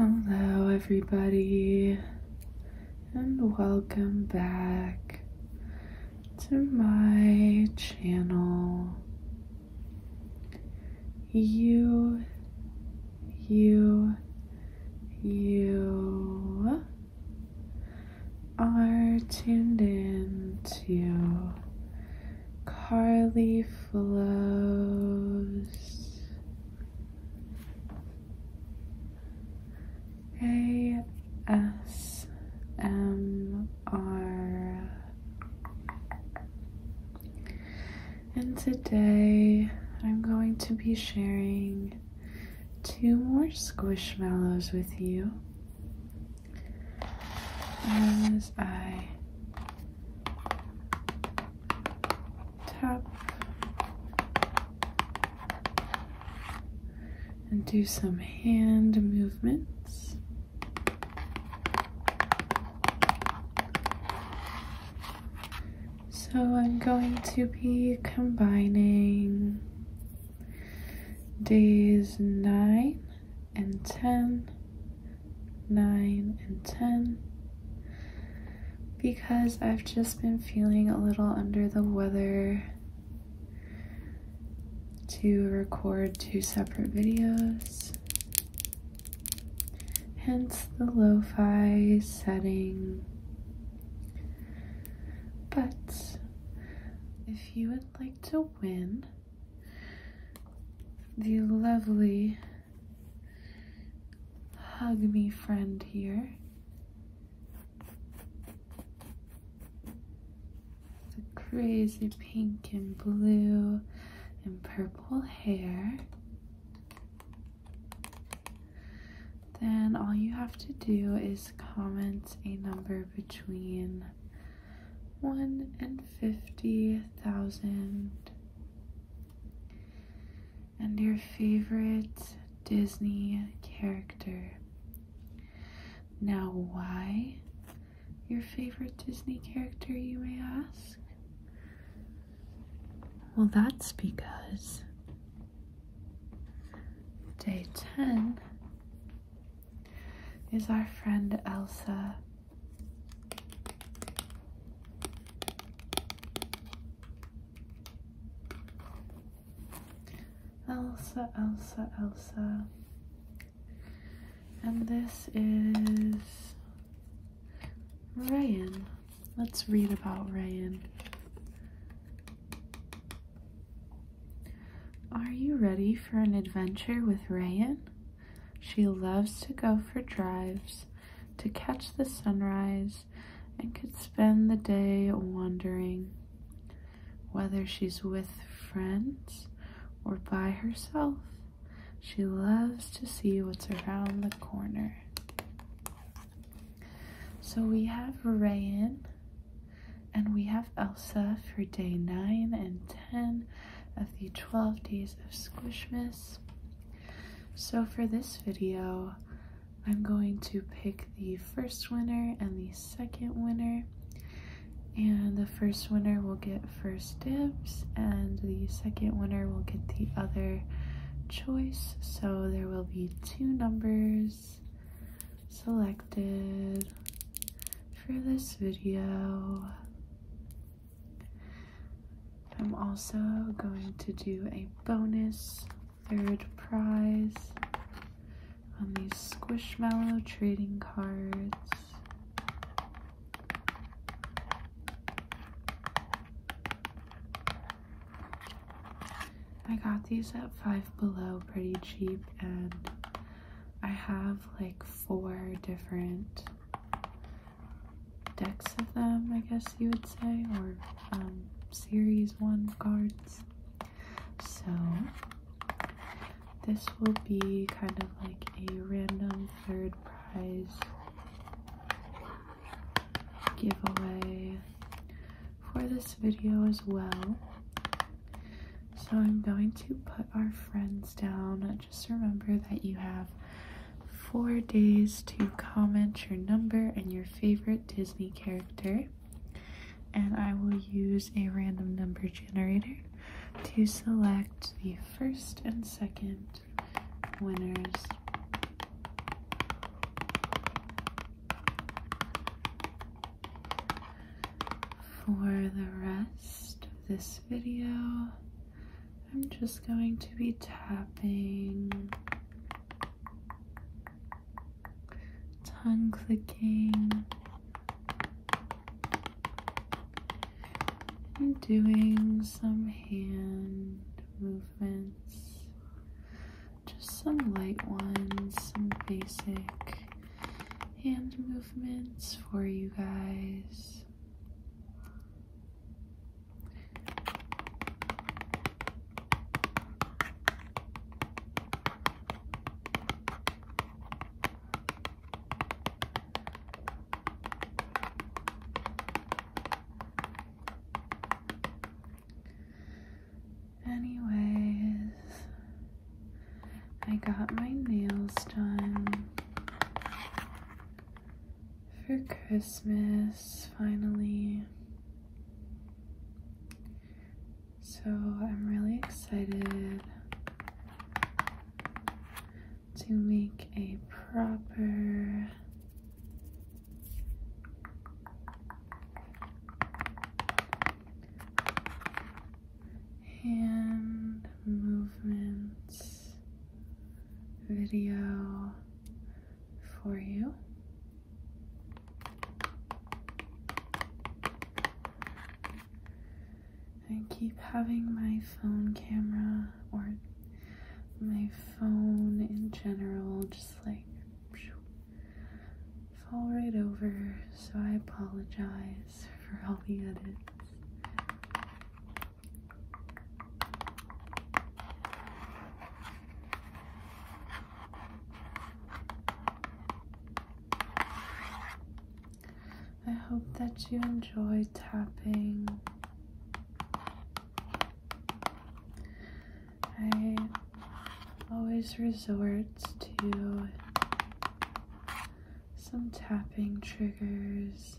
Hello, everybody, and welcome back to my channel. You, you, you are tuned in to Carly Flows, ASMR. And today I'm going to be sharing two more squishmallows with you as I tap and do some hand movements. So I'm going to be combining days 9 and 10, 9 and 10, because I've just been feeling a little under the weather to record two separate videos. Hence the lo-fi setting. But if you would like to win the lovely hug me friend here, the crazy pink and blue and purple hair. Then all you have to do is comment a number between 1 and 50,000 and your favorite Disney character. Now, why your favorite Disney character, you may ask? Well, that's because day 10 is our friend Elsa. Elsa, Elsa, Elsa. And this is Ryan. Let's read about Ryan. Are you ready for an adventure with Rayan? She loves to go for drives, to catch the sunrise, and could spend the day wandering. Whether she's with friends or by herself, she loves to see what's around the corner. So we have Rayan and we have Elsa for day 9 and 10 of the 12 days of Squishmas. So for this video, I'm going to pick the first winner and the second winner. And the first winner will get first and the second winner will get the other choice so there will be two numbers selected for this video I'm also going to do a bonus third prize on these Squishmallow trading cards I got these at Five Below pretty cheap, and I have like four different decks of them, I guess you would say, or um, series one cards. So, this will be kind of like a random third giveaway for this video as well. So I'm going to put our friends down. Just remember that you have four days to comment your number and your favorite Disney character. And I will use a random number generator to select the first and second winners. For the rest of this video, I'm just going to be tapping, tongue clicking, and doing some hand movements, just some light ones, some basic hand movements for you guys. Anyways, I got my nails done for Christmas finally. So I'm really excited to make a proper hand movements video for you. I keep having my phone camera or my phone in general just like fall right over, so I apologize for all the edits. I hope that you enjoy tapping. I always resort to some tapping triggers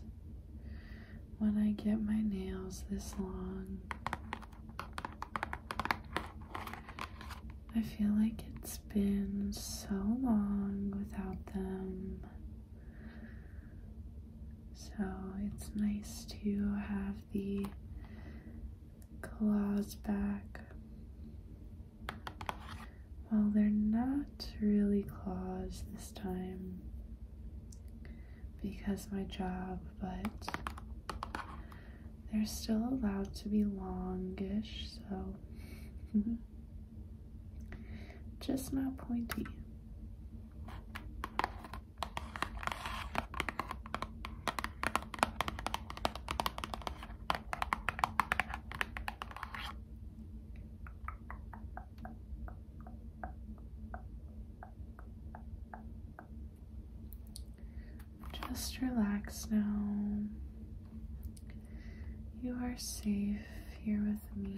when I get my nails this long. I feel like it's it's been so long without them. So it's nice to have the claws back. Well, they're not really claws this time because my job, but they're still allowed to be longish, so just not pointy. Just relax now. You are safe here with me.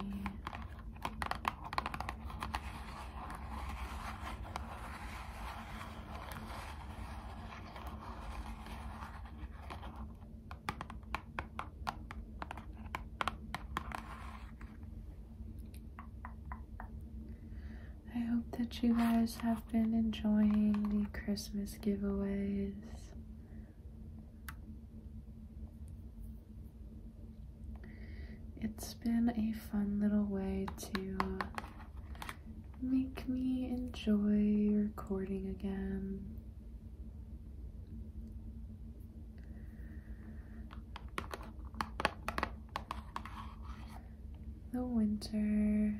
I hope that you guys have been enjoying the Christmas giveaways. It's been a fun little way to make me enjoy recording again. The winter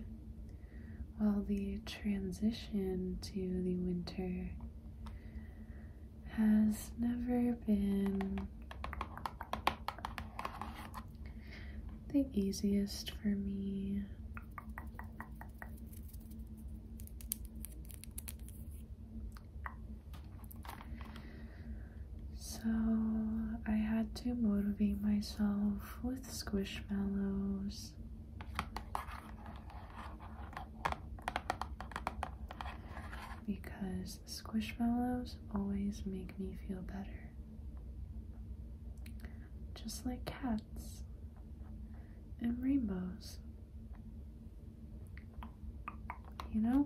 well, the transition to the winter has never been the easiest for me. So I had to motivate myself with squishmallows because squishmallows always make me feel better. Just like cats and rainbows. You know?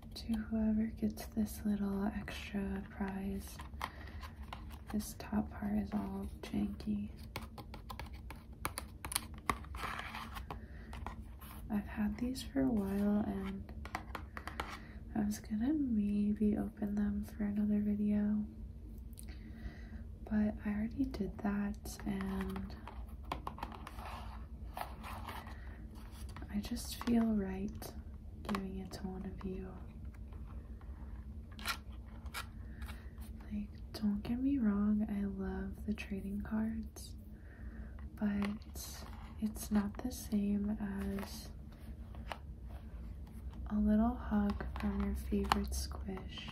to whoever gets this little extra prize. This top part is all janky. I've had these for a while and I was gonna maybe open them for another video, but I already did that and I just feel right giving it to one of you. Like, don't get me wrong, I love the trading cards, but it's not the same as a little hug from your favorite squish.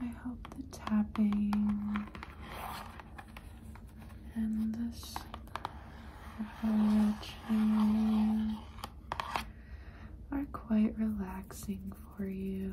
I hope the tapping and this apology are quite relaxing for you.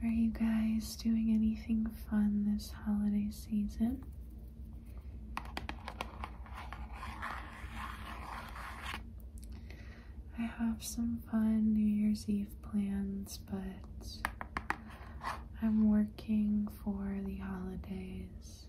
Are you guys doing anything fun this holiday season? I have some fun New Year's Eve plans, but I'm working for the holidays.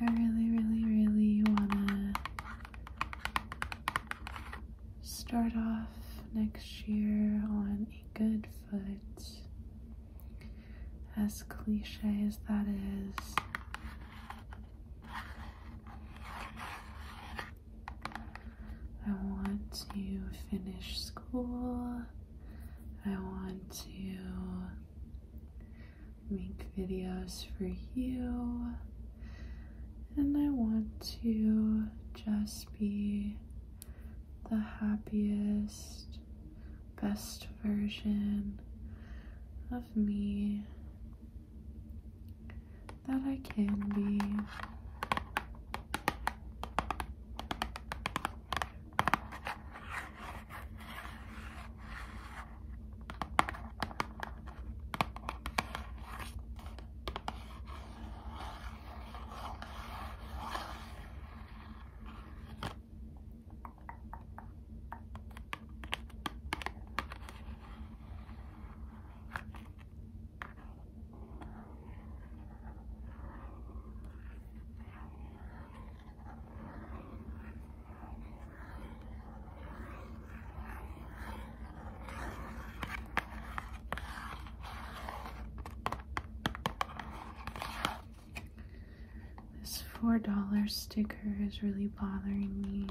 I really, really, really want to start off next year on a good foot. As cliche as that is, I want to finish school. I want to make videos for you. And I want to just be the happiest, best version of me that I can be. This $4 sticker is really bothering me.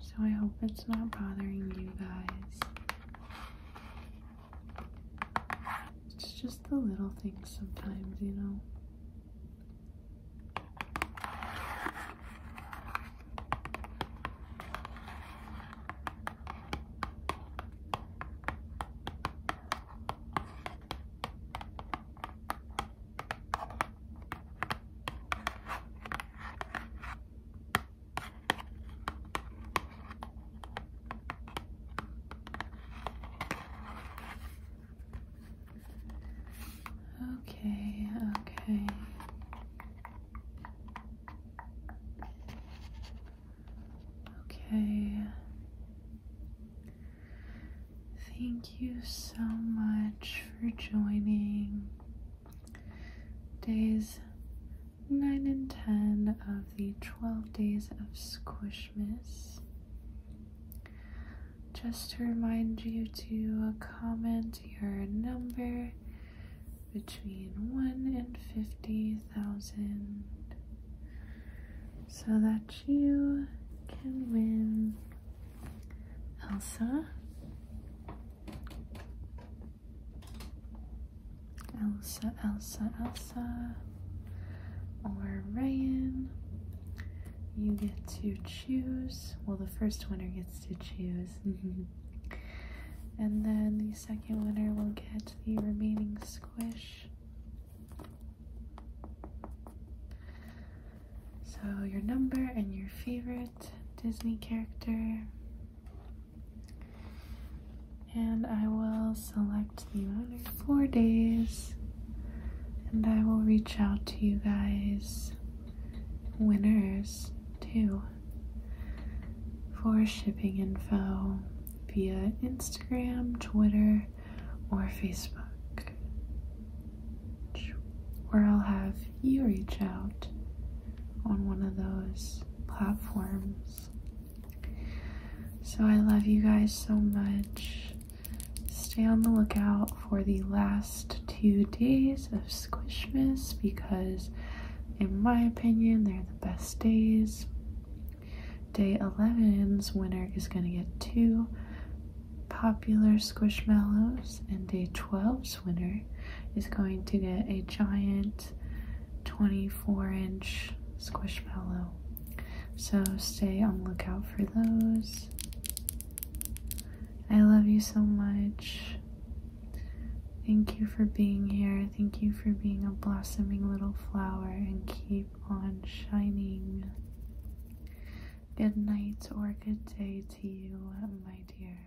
So I hope it's not bothering you guys. It's just the little things sometimes, you know. Okay, okay. Okay. Thank you so much for joining Days 9 and 10 of the 12 Days of Squishmas. Just to remind you to comment your number between 1 and 50,000 so that you can win Elsa Elsa, Elsa, Elsa, or Ryan. You get to choose. Well, the first winner gets to choose. and then the second winner will get the remaining squish. So, your number and your favorite Disney character. And I will select the other four days and I will reach out to you guys, winners too, for shipping info via Instagram, Twitter, or Facebook. Where I'll have you reach out on one of those platforms. So I love you guys so much. Stay on the lookout for the last two days of Squishmas because, in my opinion, they're the best days. Day 11's winner is going to get two popular Squishmallows, and day 12's winner is going to get a giant 24 inch Squishmallow. So stay on lookout for those. I love you so much. Thank you for being here. Thank you for being a blossoming little flower and keep on shining. Good night or good day to you, my dear.